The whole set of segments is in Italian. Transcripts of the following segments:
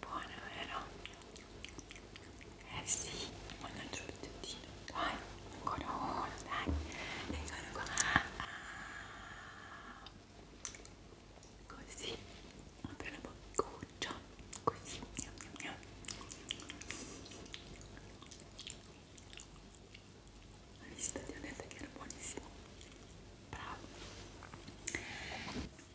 Buono, vero? Eh sì, manda giù il dentino. Dai, ancora uno, dai. E ancora qua. Così. Apri la boccuccia. Così. Miam, miam, miam. Hai visto? Ti ho detto che era buonissimo. Bravo.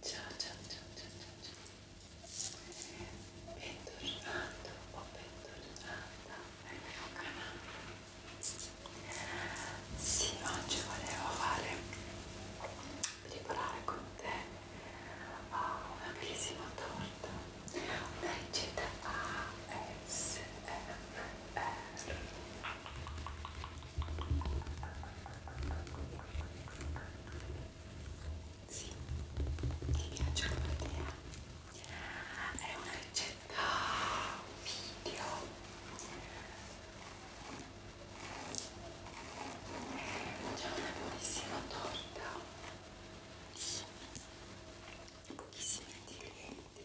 Ciao, ciao, ciao, ciao, ciao, ciao. Bentornato o oh, bentornata nel mio canale. Sì, oggi volevo fare, preparare con te oh, una bellissima torta. Una ricetta ASMR. Sì, mi piace come idea. È una ricetta video. C'è una bellissima torta di pochissimi ingredienti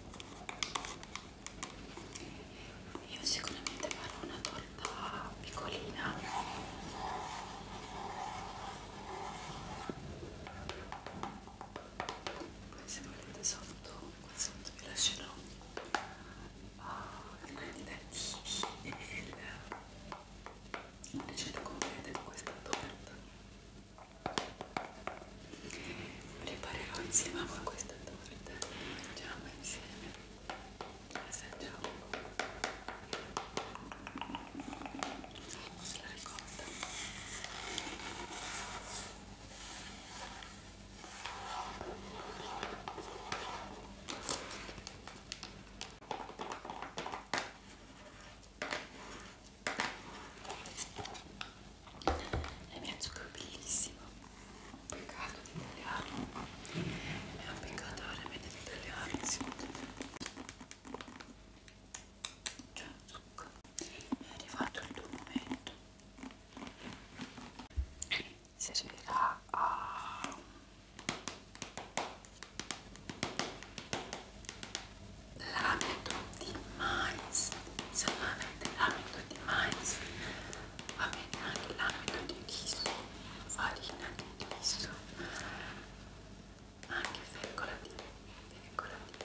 io sicuramente farò una torta piccolina poi se volete sotto qua sotto vi lascerò alcuni ah, uh, tentativi e eh, il ricetto completo di questa torta Preparerò insieme a voi questa torta, mangiamo insieme, assaggiamo. Se la ricorda e mi ha giocato bellissimo peccato di tagliarlo è un peccato veramente di tagliarsi ciao zucca è arrivato il tuo momento servirà a l'amido di mais salame dell'amido di mais va bene anche l'amido di riso farina di riso anche fecola di fecola di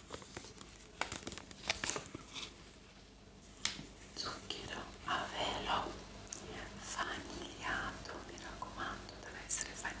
zucchero a velo fanigliato mi raccomando deve essere fanigliato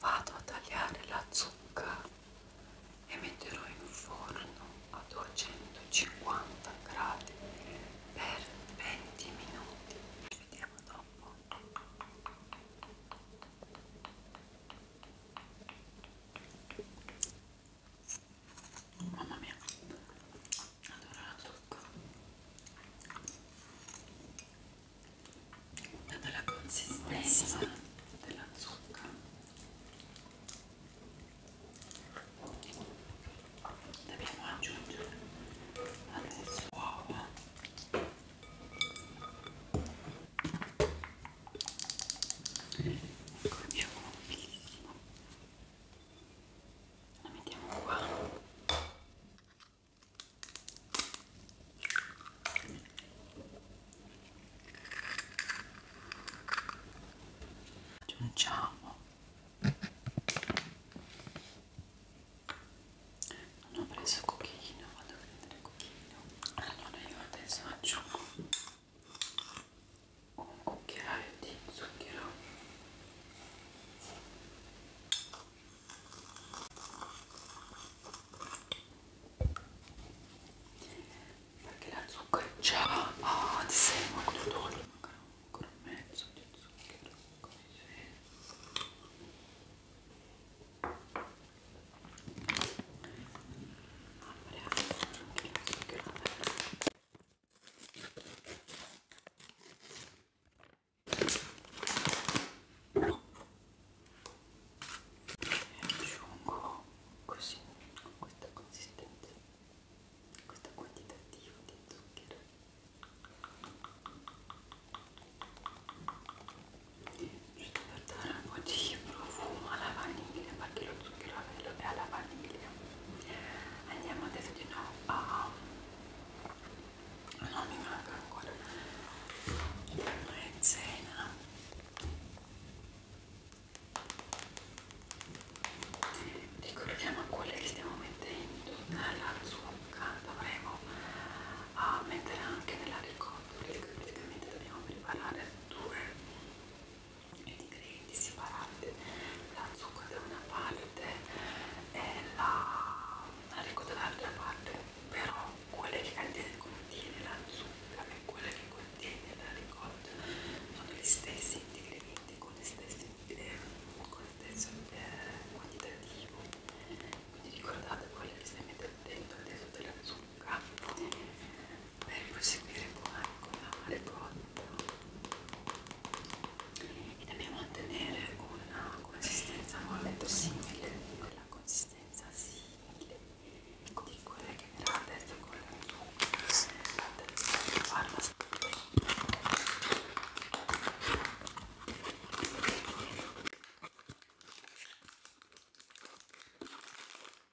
Vado a tagliare la zucca e metterò in forno a 250 gradi per 20 minuti. Ci vediamo dopo mamma mia adoro la zucca data la consistenza della zucca dobbiamo aggiungere adesso uova cominciamo moltissimo la mettiamo qua aggiungiamo non ho preso cochino vado a prendere cochino allora io adesso aggiungo un cucchiaio di zucchero perché la zucca già ha ah, di sé molto dolce magari ancora mezzo di zucchero così e aggiungo così con questa consistenza questo quantitativo di zucchero ci portarono di profumo alla vaniglia perché lo zucchero a velo è alla vaniglia andiamo adesso di nuovo a non mi manca ancora maizena ricordiamo quelle che stiamo mettendo nella zucca dovremo a ah, mettere anche nella ricotta perché praticamente dobbiamo preparare due ingredienti separati la zucca da una parte e la rico dall'altra parte però quella che contiene la zucca e quella che contiene la ricotta sono gli stessi ingredienti con le stesse eh, con lo stesso eh, quantitativo quindi ricordate quelle che stai mettendo dentro della zucca per proseguire poi con la cotta e dobbiamo ottenere una consistenza molto simile quella consistenza simile di quella che verrà adesso con la zucchero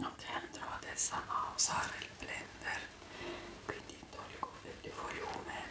ok andrò adesso a usare il blender quindi tolgo il volume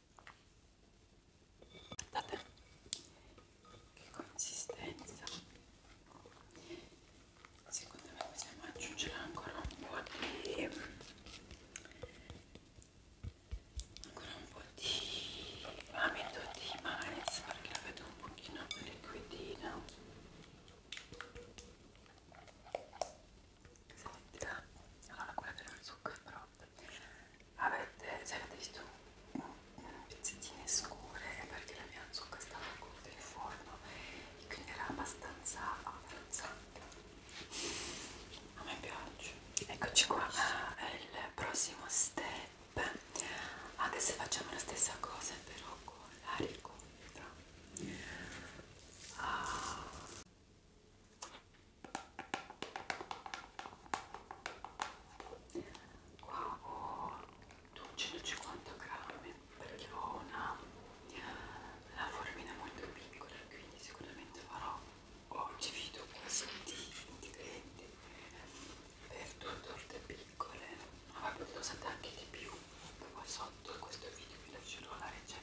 guardate che consistenza secondo me possiamo aggiungere ancora un po' di ancora un po' di lamento di mais perché la vedo un pochino più liquidina Scotta, allora quella dello zucchero però avete, se avete visto pezzettine scure perché la mia zucca stava corta in forno e quindi era abbastanza avanzata a me piace eccoci qua è il prossimo step adesso facciamo la stessa cosa però con la ricotta ah. Qua ho 250 grammi perché ho una, una formina molto piccola, quindi sicuramente farò oggi video questi ingredienti per due torte piccole, ma potete usate anche di più. Poi sotto questo video vi lascerò la ricetta set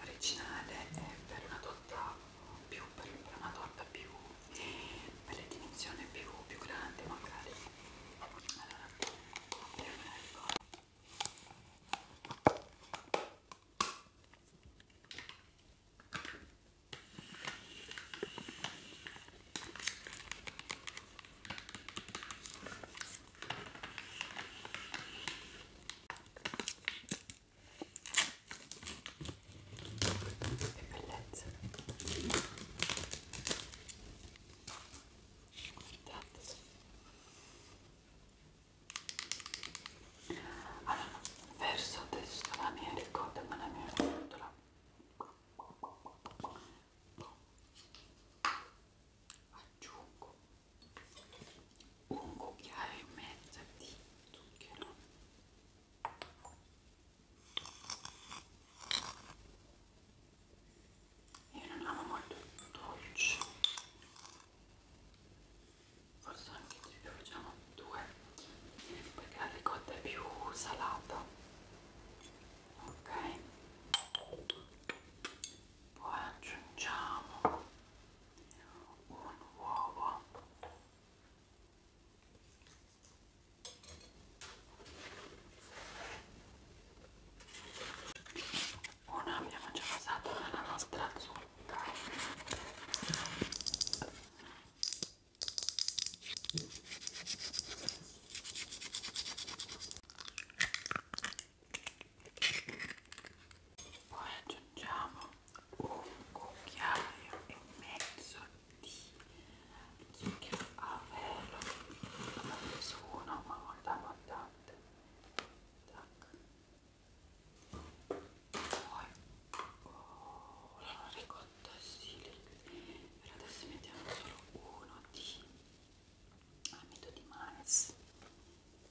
originale è per una torta più, per una torta più per le dimensioni più, più grandi magari allora che bellezza! Guardate. Allora, verso a destra la mia ricotta con la mia rotola. Aggiungo un cucchiaio e mezzo di zucchero io non amo molto il dolce forse anche di più facciamo due perché la ricotta è più salata ok poi aggiungiamo un uovo uno abbiamo già passato nella nostra zucca poi aggiungiamo un cucchiaio e mezzo di zucchero a velo ho preso uno ma molto abbondante poi oh, la ricotta silica per adesso mettiamo solo uno di amido di mais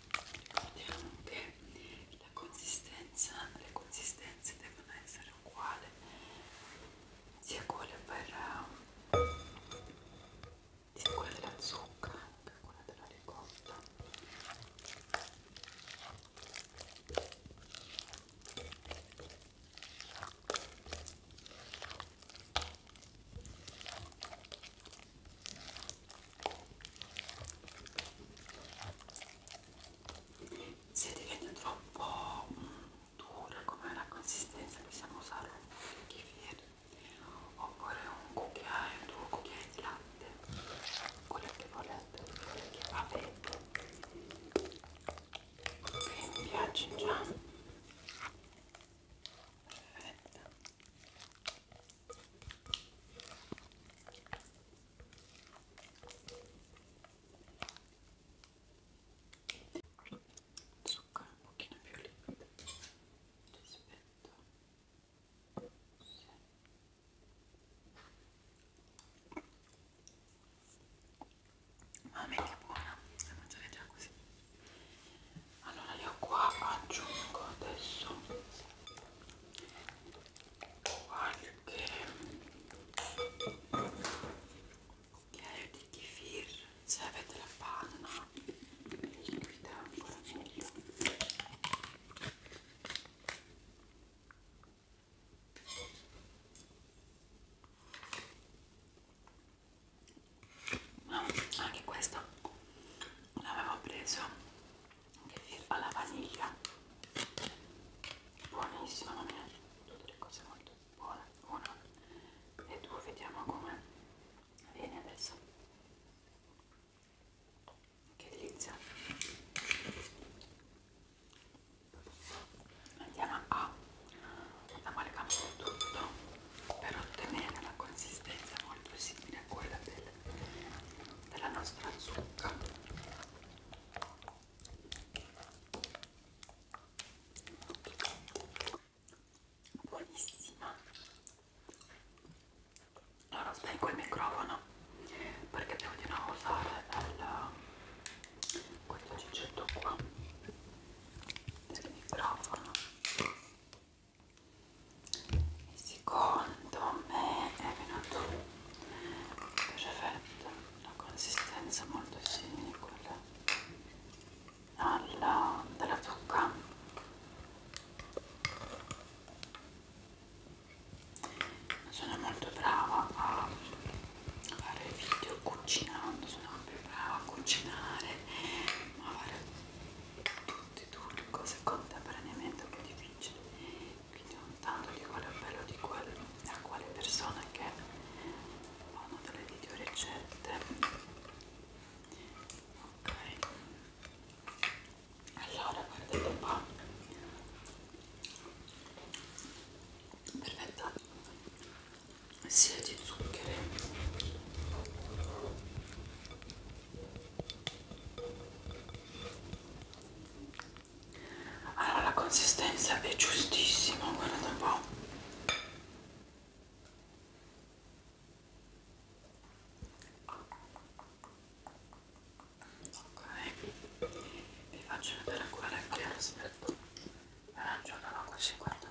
ricordiamo che la consistenza, le consistenze devono essere uguali sia quelle per eh, quella della zucca che quella della ricotta se diventa troppo dura come la consistenza possiamo usare un bicchiere oppure un cucchiaio, due cucchiai di latte, quello che volete, quello che va bene. Se mi piace già. Perfetto zucchero un pochino più liquido rispetto sì. mamma mia che buona la mangiare già così allora io qua aggiungo adesso qualche cucchiaio di kefir se avete la panna liquida ancora meglio ma anche questa l'avevo preso alla vaniglia buonissima mamma mia tutte le cose molto buone una e due vediamo come viene adesso che delizia andiamo a amalgamare tutto per ottenere una consistenza molto simile a quella del, della nostra zucca buonissima allora spengo il microfono perché devo di nuovo usare il, um, questo ciccetto qua del microfono e secondo me è venuto perfetto una consistenza molto simile quella alla, della zucca sono molto brava a fare video cucinando sono più brava a cucinare ma a fare tutti tutte cose contemporaneamente è più difficile quindi non tanto di quale appello di quale, a quale persona che fanno delle video ricette ok allora guardate un po' perfetto sia di zuccheri allora la consistenza è giustissima guardate un po' ok vi faccio vedere quella che è la smetto arancione così guardate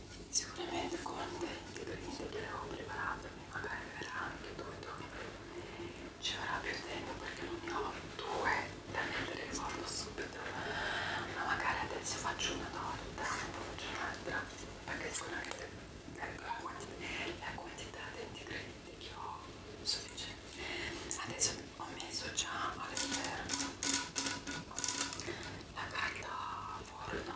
sicuramente con degli ingredienti che ho preparato magari verrà anche tutto ci vorrà più tempo perché non ho due da mettere ricordo subito ma magari adesso faccio una torta poi faccio un'altra perché sicuramente la quantità di ingredienti che ho è sufficiente adesso ho messo già all'interno la carta forno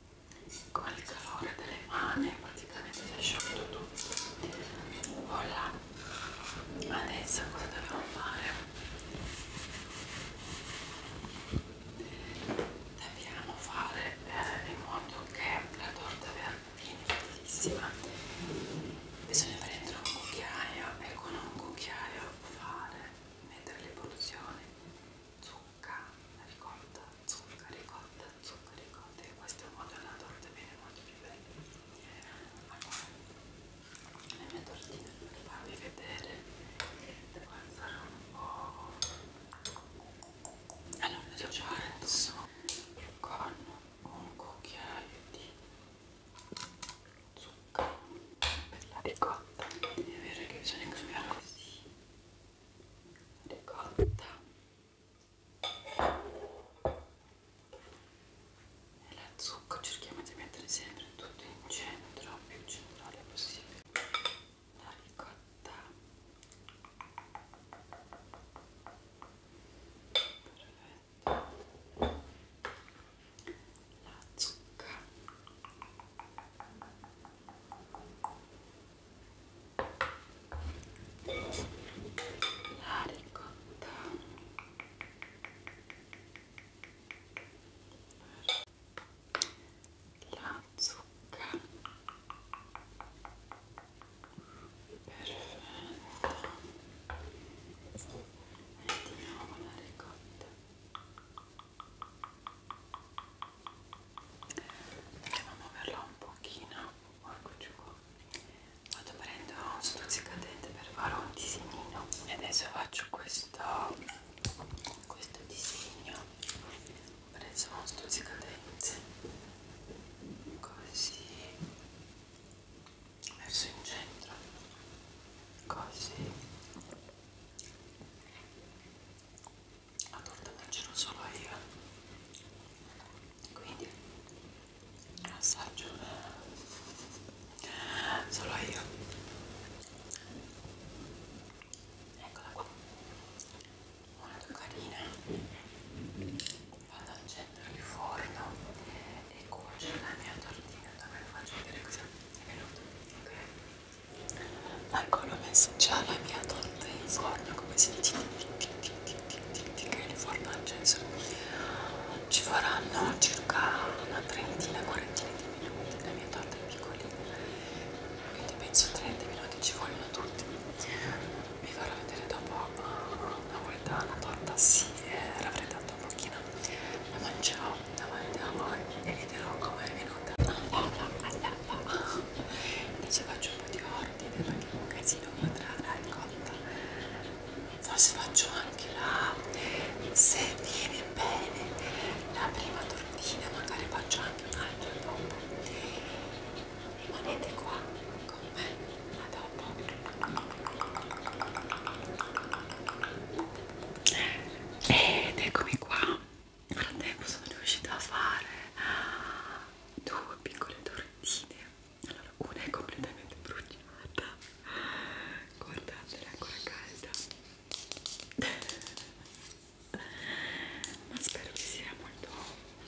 con il calore delle mani praticamente si è sciolto tutto voilà adesso cosa dobbiamo fare? dobbiamo fare eh, in modo che la torta viene bellissima bisogna prendere un cucchiaio e con un cucchiaio fare mettere le porzioni zucchero zucca, ricotta, zucca, ricotta, zucca, ricotta e questo è un modo alla torta viene molto più bella allora, la mia tortina per farvi vedere devo alzare un po' allora, io ci alzo con un cucchiaio di zucca per la ricotta è vero che bisogna cambiare così ricotta e la zucca cerchiamo di mettere sempre tutto in centro più centrale possibile la ricotta perfetto la zucca la ricotta la zucca perfetto e di nuovo la ricotta andiamo a muoverla un pochino eccoci qua vado prendo un stuzzicadente per fare un disegnino e adesso faccio questo questo disegno ho preso uno stuzzicadente così verso in centro così la torta mangerò solo io quindi assaggio solo io eccola qua molto carina vado ad accendere il forno e cuocere la mia tortina da me faccio vedere cosa è venuto ok ecco l'ho messo già la mia torta in forno come si dice che il forno al censo ci faranno circa una trentina quarantina di minuti la mia torta è piccolina quindi penso 30 minuti ci vogliono tutti vi farò vedere dopo una volta la torta si è raffreddata un pochino la mangerò davanti a voi e vi dirò come è venuta adesso faccio un po' di ordine perché è un casino quadrata è cotta forse faccio anche la se viene bene la prima tortina magari faccio anche un'altra dopo rimanete qua con me a dopo ed eccomi qua nel frattempo sono riuscita a fare due piccole tortine allora una è completamente bruciata guardate è ancora calda ma spero che sia molto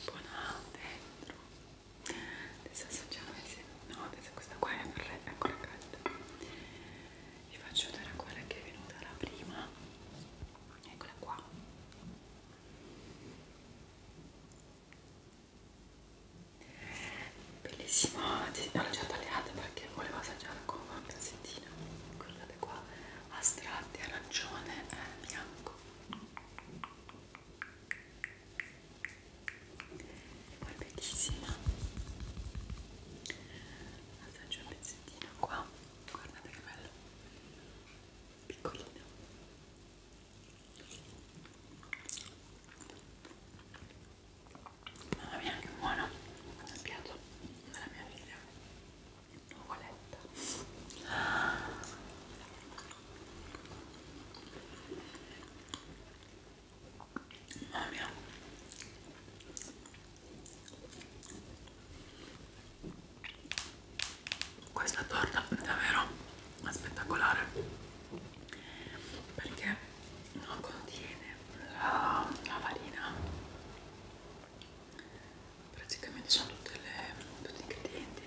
buona dentro adesso assaggiamoci no adesso questa qua è ancora calda vi faccio vedere quella che è venuta la prima eccola qua bellissima l'ho già tagliata perché volevo assaggiare con una pezzettina guardate qua a strati arancione e eh, bianco e poi bellissima assaggio un pezzettino qua guardate che bello piccolino mamma mia che buono è il piatto della mia figlia nuvoletta mamma mia questa torta è davvero spettacolare perché non contiene la, la farina, praticamente sono tutte le, tutti gli ingredienti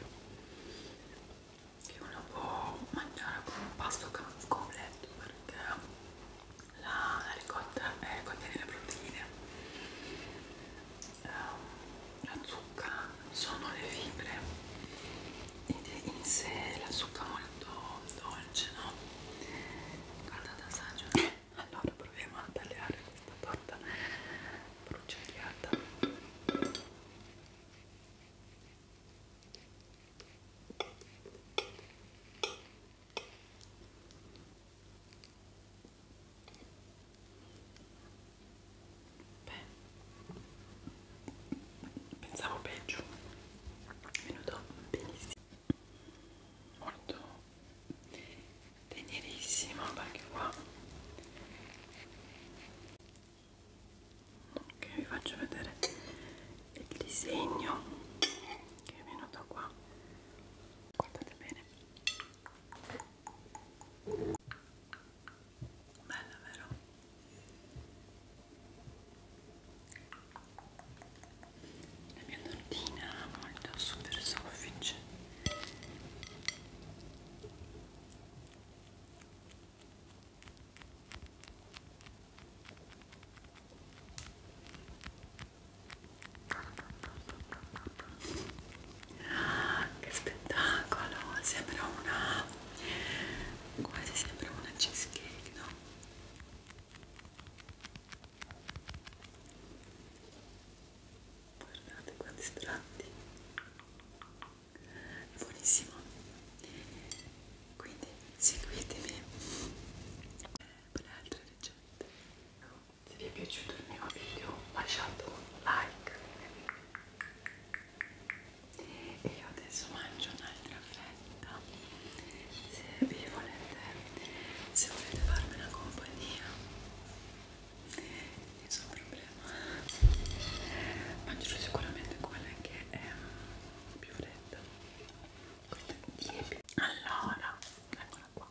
che uno può mangiare con un pasto completo perché la, la ricotta eh, contiene le proteine, um, la zucca sono le fibre, in sé la zucca molto dolce, no? Guardate assaggio. Allora proviamo a tagliare questa torta bruciagliata. Beh, pensavo peggio, è venuto benissimo, molto tenerissimo perché qua che vi faccio vedere il disegno che è venuto qua guardate bene Bella, vero? La mia tortina è molto super soffice. Ah, che spettacolo! Sembra una... quasi sembra una cheesecake, no? Guardate quanti strati! Buonissimo! Quindi seguitemi per altre ricette se vi è piaciuto il mio video lasciate un like e io adesso mangio un'altra fetta se vi volete se volete farmi una compagnia nessun problema mangerò sicuramente quella che è mm, più fredda questa tiepida allora eccola qua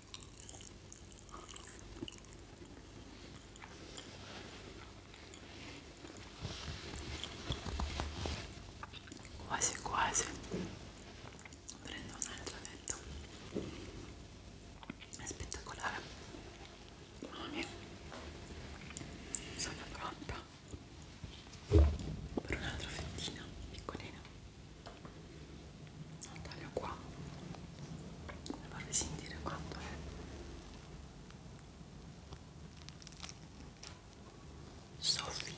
quasi quasi prendo un altro vento è spettacolare mamma mia sono pronta per un'altra fettina piccolina taglio qua e vorrei sentire quanto è soffice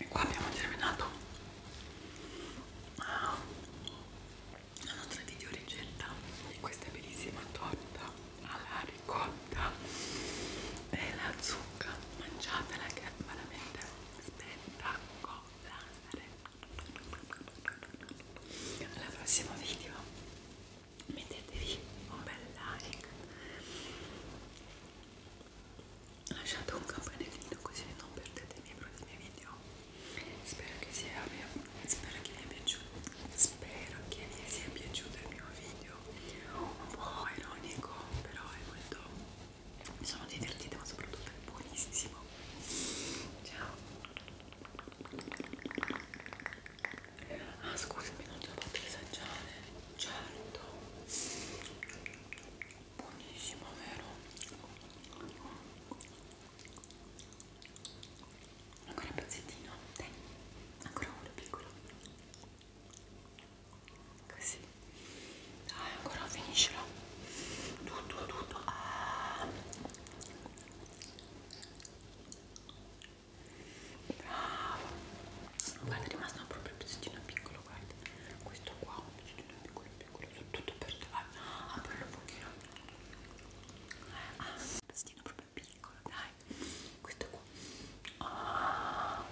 e qua abbiamo terminato la nostra video ricetta di questa bellissima torta alla ricotta e la zucca mangiatela che è veramente spettacolare al prossimo video mettetevi un bel like lasciate un campanellino così non perdete i miei prossimi video Spero che, sia, spero che vi sia piaciuto il mio video un po' ironico però è molto mi sono divertita ma soprattutto è buonissimo ciao ah scusami non te l'ho fatto assaggiare certo buonissimo vero? ancora un pezzettino dai ancora uno piccolo così dai ancora finiscilo tutto tutto ah. bravo guarda è rimasto proprio un pezzettino piccolo guarda questo qua un pezzettino piccolo piccolo su tutto per te vai aprirlo un pochino ah un pestino proprio piccolo dai questo qua oh.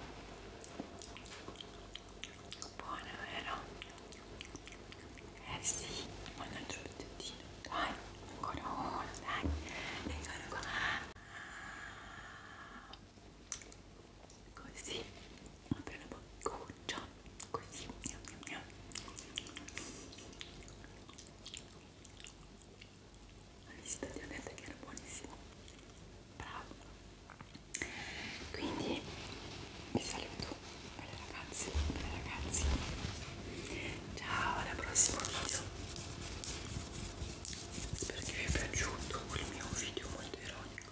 buono vero? eh sì mannaggia un pezzettino dai ancora uno dai ancora qua così apri la boccuccia così miam, miam, miam. Hai visto? Ti ho detto che era buonissimo. Bravo. Quindi vi saluto, belle ragazze, belle ragazzi. Ciao, alla prossima video. Spero che vi è piaciuto il mio video molto ironico.